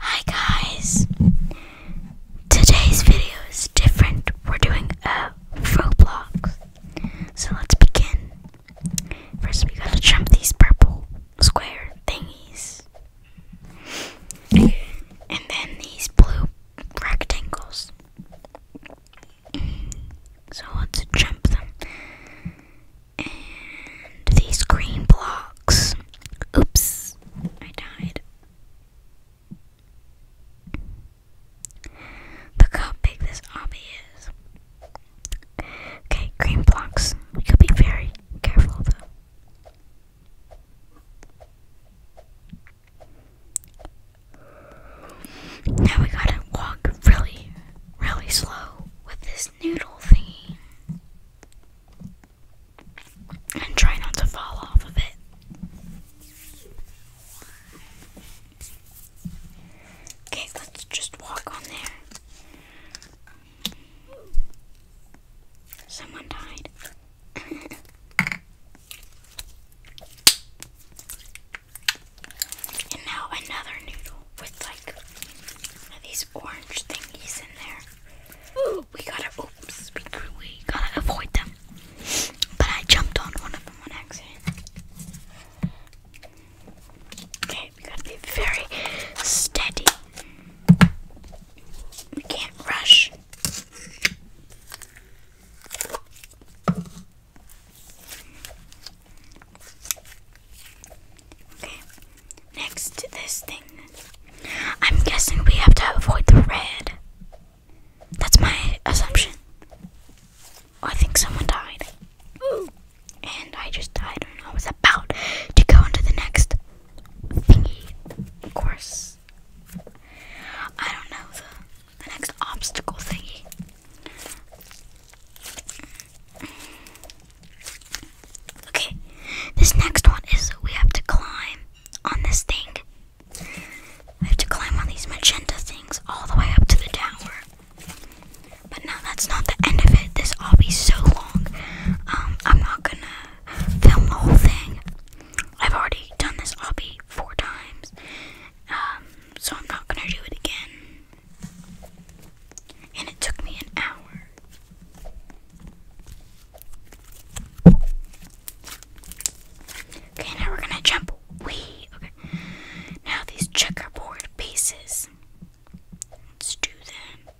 Hi guys! Today's video is different. We're doing a Roblox. So let's begin. First, we gotta jump these purple square thingies. And then these blue rectangles. So let's jump them. And these green blocks. Oops, I died. Look how big this obby is. Okay, green blocks. We could be very careful though. Now we gotta walk really, really slow with this noodle thingy. And try not to fall off of it. Okay, let's just walk on there. Someone died. And now another noodle with like these orange thingies in there. Ooh, we gotta oops, we, gotta avoid them. But I jumped on one of them on accident. Okay, we gotta be very steady. We can't rush. Okay, next to this thing. I'm guessing we have to avoid the red. That's my assumption. Oh, I think someone died. Ooh. And I just died and I was about to go into the next thingy. Of course. I don't know the next obstacle thingy. Okay, this next one is we have to climb on this thing. We have to climb on these magenta things all the way up to the tower. But no, that's not the end of it. This all so long. Um, I'm not gonna film the whole thing. I've already done this obby four times, um, so I'm not gonna do it again. And it took me an hour. Okay, now we're gonna jump. Wee. Okay. Now these checkerboard pieces. Let's do them.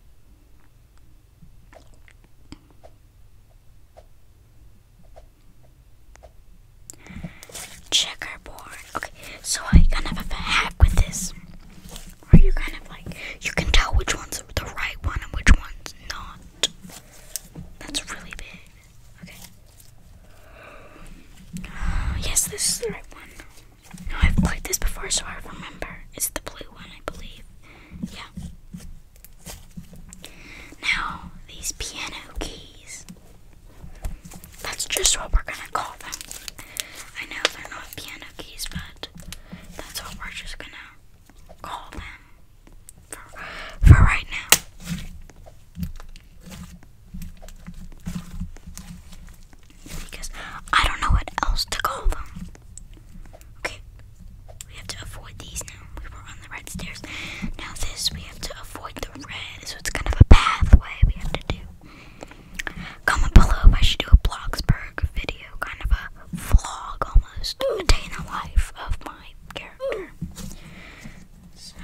Checkerboard. Okay, so I kind of have a hack with this. Where you kind of like, you can tell which one's the right one and which one's not. That's really big. Okay. Uh, yes, this is the right one. I've played this before, so I remember. It's the blue one, I believe. Yeah. Now, these piano keys. That's just what we're gonna call them. I know they're not piano keys, but that's what we're just gonna call them for, for right now. Because I don't know what else to call them. Okay, we have to avoid these now. We were on the red stairs. Now, this we have to avoid the red, so it's kind of a pathway we have to do. Comment below if I should do a Bloxburg video, kind of a vlog almost, a day in the life of my character. So,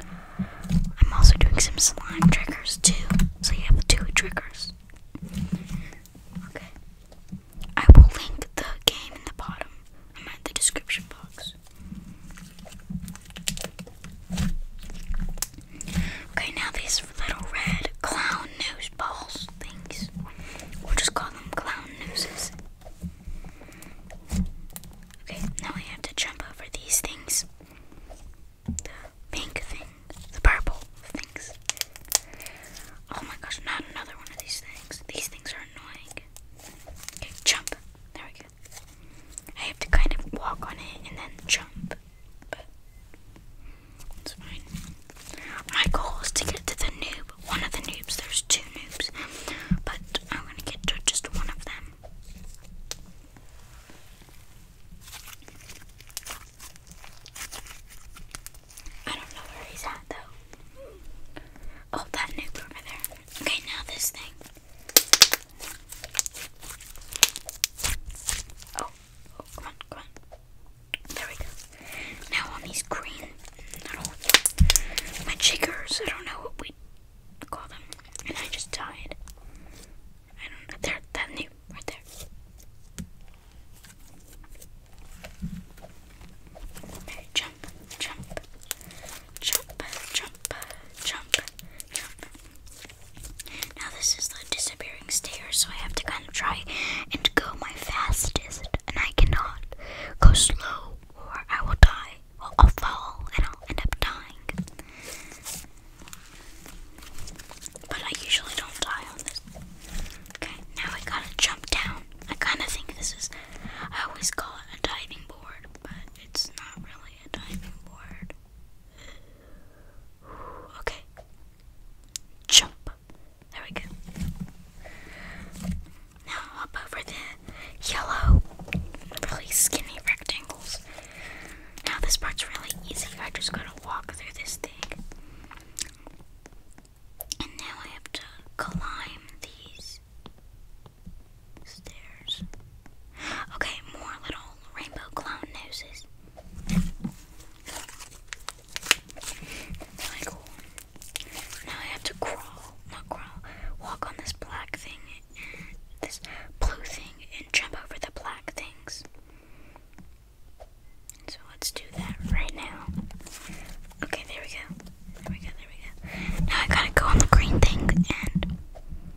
I'm also doing some slime triggers too, so you have two triggers. Okay. I will link the game in the bottom. I'm at the description box. Okay, now these little red clown nose balls things. We'll just call them clown noses. Okay, now I have to jump over these things. The pink thing, the purple things. Oh my gosh, not another one of these things. These things are annoying. Okay, jump. There we go. I have to kind of walk on it and then jump, but it's fine. My goal is to get to the noob, one of the noobs. There's two noobs, but I'm gonna get to just one of them. I don't know where he's at though. Oh, that noob over there. Okay, now this thing. Oh, oh, come on, come on. There we go. Now on these green little jiggers, I don't know what we call them, and I just died. I don't know. There, that new, right there. jump, jump, jump, jump, jump, jump. Now this is the disappearing stairs, so I have to kind of try and go my fastest, and I cannot go slow or I will die. Well, I'll fall and I'll end up dying. But I usually don't die on this. Okay, now I gotta jump down. I kind of think this is. I always call it a diving board, but it's not really. Okay. Jump. There we go. Now hop over the yellow, really skinny rectangles. Now this part's really easy. I just gotta walk through this thing. And now I have to climb these Stairs. Okay, more little rainbow clown noses. Really cool. Now I have to crawl, not crawl, walk on this black thing, this blue thing, and jump over the black things. So let's do that right now. Okay, there we go. There we go, there we go. Now I gotta go on the green thing and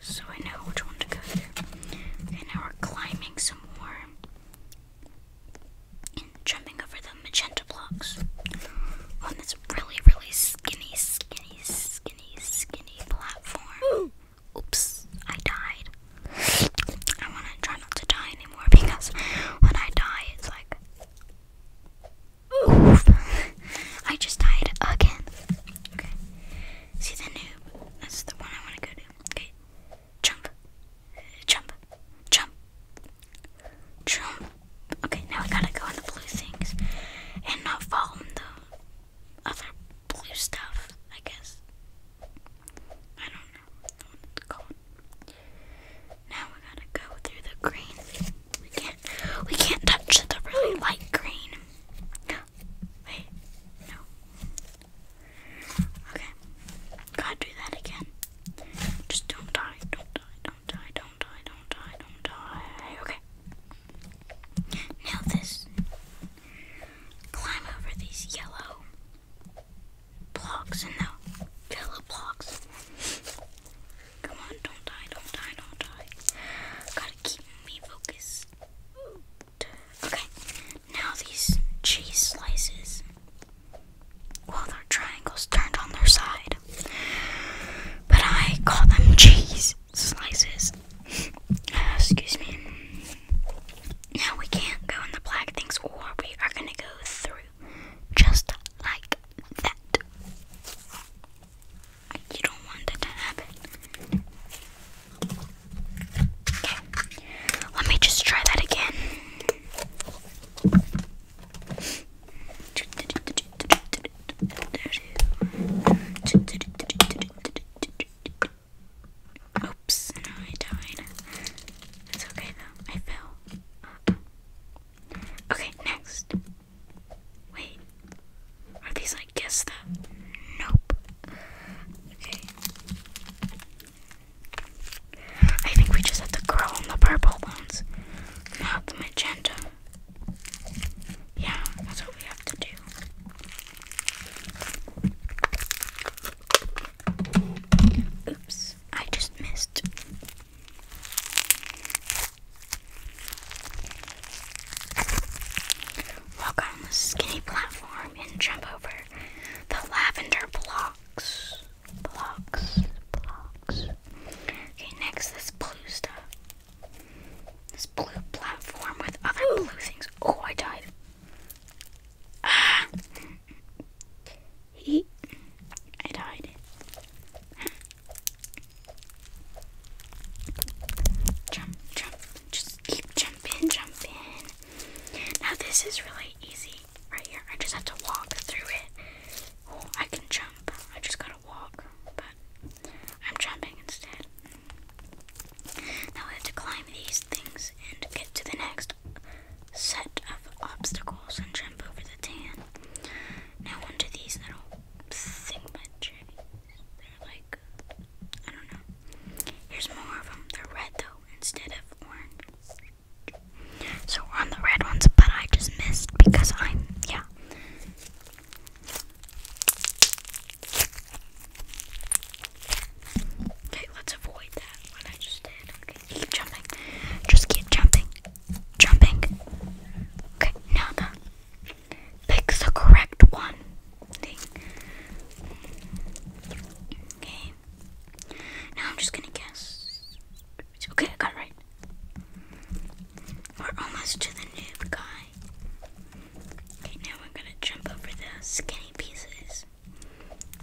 Just so I know which one to go through. And now we're climbing some more and jumping over the magenta blocks on this really, really skinny, skinny, skinny, skinny platform. Oops, I died. I want to try not to die anymore because when I die, it's like. Oof! I just died again. Okay. See the noob. That's the one I want to go to. Okay. Jump. Jump. Jump. Jump. Okay, now we gotta go on the blue things. And not fall in the other blue stuff, I guess. I don't know what it's called. Now we gotta go through the green. We can't we can't touch the really light green. Wait, no. Okay. Gotta do that again. Just don't die, don't die, don't die, don't die, don't die, don't die. Okay. Now this. Climb over these yellow blocks and no yellow blocks. Come on, don't die, don't die, don't die. Gotta keep me focused. Okay, now these cheese slices. Well, they're triangles turned on their side. But I call them cheese slices. excuse me. Now we can't go in the black things, or we are gonna go through just like that. You don't want that to happen. Okay. Let me just try that again. Oops, I died. It's okay though, I fell. Okay, next. Wait, are these like guess that? Nope. Okay. I think we just have to curl on the purple ones, not the magenta. Yeah, that's what we have to do. Oops, I just missed. Walk on the skinny platform and jump over the lavender blocks. Blocks. Blocks. Okay, next this blue stuff. This blue platform with other blue things. Oh, I died. Ah. He I died. Jump, jump, just keep jumping, jumping. Now this is really easy right here. I just have to walk through it. I can jump. I just gotta walk, but I'm jumping instead. Now we have to climb these things and get to the next set of obstacles and jump over the tan. Now onto these little thing They're like like, I don't know. Here's more of them. They're red though, instead of orange. So we're on the red ones, but I just missed because I'm, yeah. Okay, let's avoid that, what I just did. Okay, keep jumping. Just keep jumping. Jumping. Okay, now the pick the correct one. Okay. Now I'm just gonna guess. It's okay, I got it right. We're almost to the noob guy. Okay, now we're gonna jump over the skinny pieces.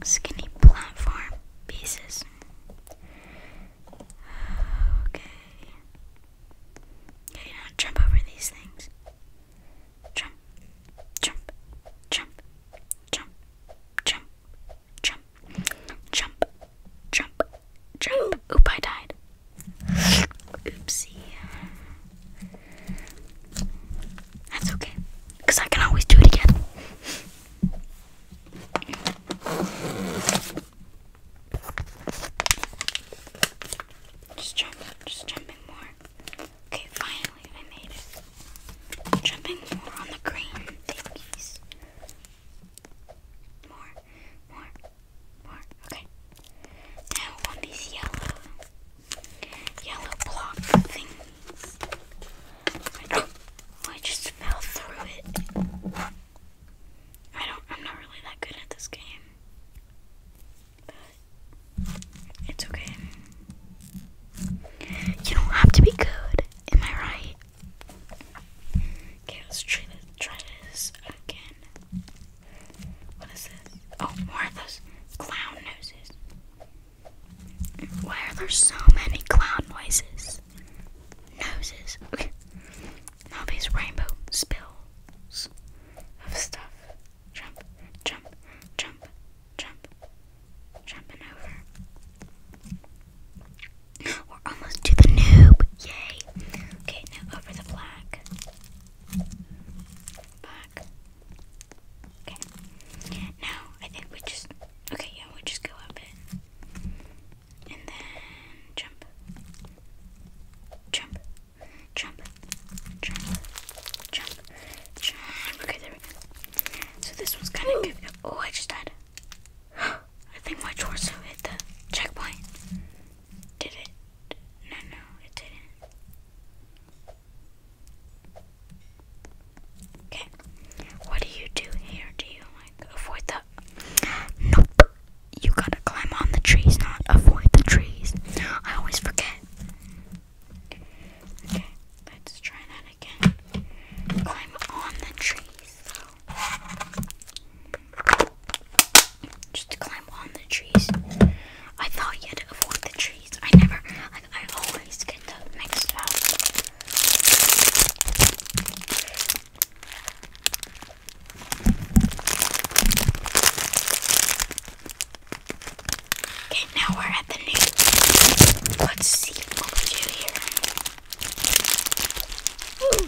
Skinny platform pieces. Okay. Okay, now jump over these things jump, jump, jump, jump, jump, jump, jump, jump, jump. Oop, I died. Oopsie. That's okay, because I can always do it again. Just jump, just jumping more. Okay, finally I made it. Jumping more on the green thingies. More, more, more. Okay. Now on these yellow, yellow block things. I just fell through it. I don't. I'm not really that good at this game. It's okay. You don't have to be good. Am I right? Okay, let's try this, again. What is this? Oh, more of those clown noses. Why are there so many clown noises? Noses. Now these rainbow spills of stuff jump, jump, jump, jump, jumping over. We're almost to the noob. Yay. Okay, now over the black. Black. Okay. Now I think we just okay, yeah, we just go up it. And then jump. Jump jump, jump, jump, jump. Okay, there we go. So this one's kind of good. Oh, I just died. I think my torso hit the checkpoint. Did it? No, no, it didn't. Okay. What do you do here? Do you like avoid the? Nope you gotta climb on the trees, not avoid the trees. I always forget. Okay, let's try that again. Climb on the trees. Just climb on the trees. I thought you had to avoid the trees. I never, like, I always get the mixed up. Okay, now we're at the news. Let's see what we do here. Ooh.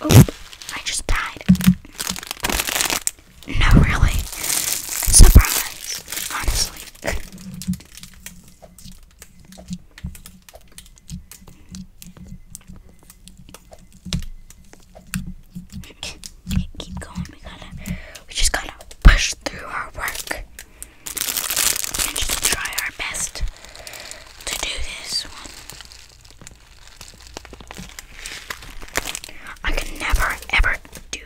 Oh, I just died. No, really. Surprise, honestly. Keep going. We gotta. We just gotta push through our work and just try our best to do this one. I can never ever do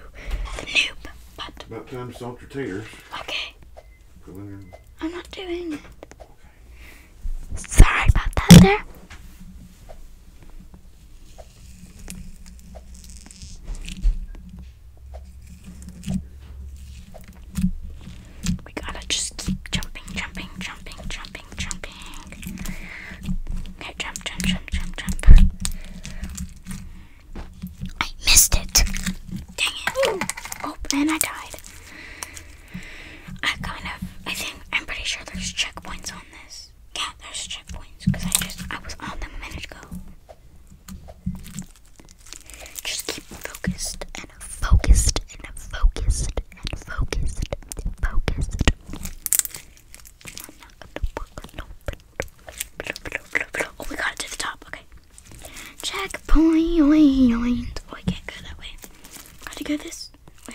the noob, About time to salt your tears. Okay. I'm not doing it. Sorry about that there. We gotta just keep jumping, jumping, jumping, jumping, jumping. Okay, jump, jump, jump, jump, jump. I missed it. Dang it. Oh, and I died. I kind of, I think, I'm pretty sure there's checkpoints on this checkpoints. Yeah, there's checkpoints because I just I was on them a minute ago. Just keep focused and focused and focused and focused and focused. I'm not gonna work no. Oh, we got it to the top. Okay. Checkpoint. Oh, I can't go that way. Gotta go this way.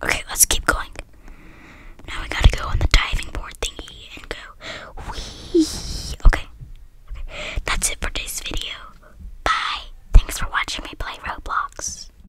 Okay, let's keep going. Now we gotta go on the diving board thingy and go. Wee. Okay. Okay. That's it for today's video. Bye. Thanks for watching me play Roblox.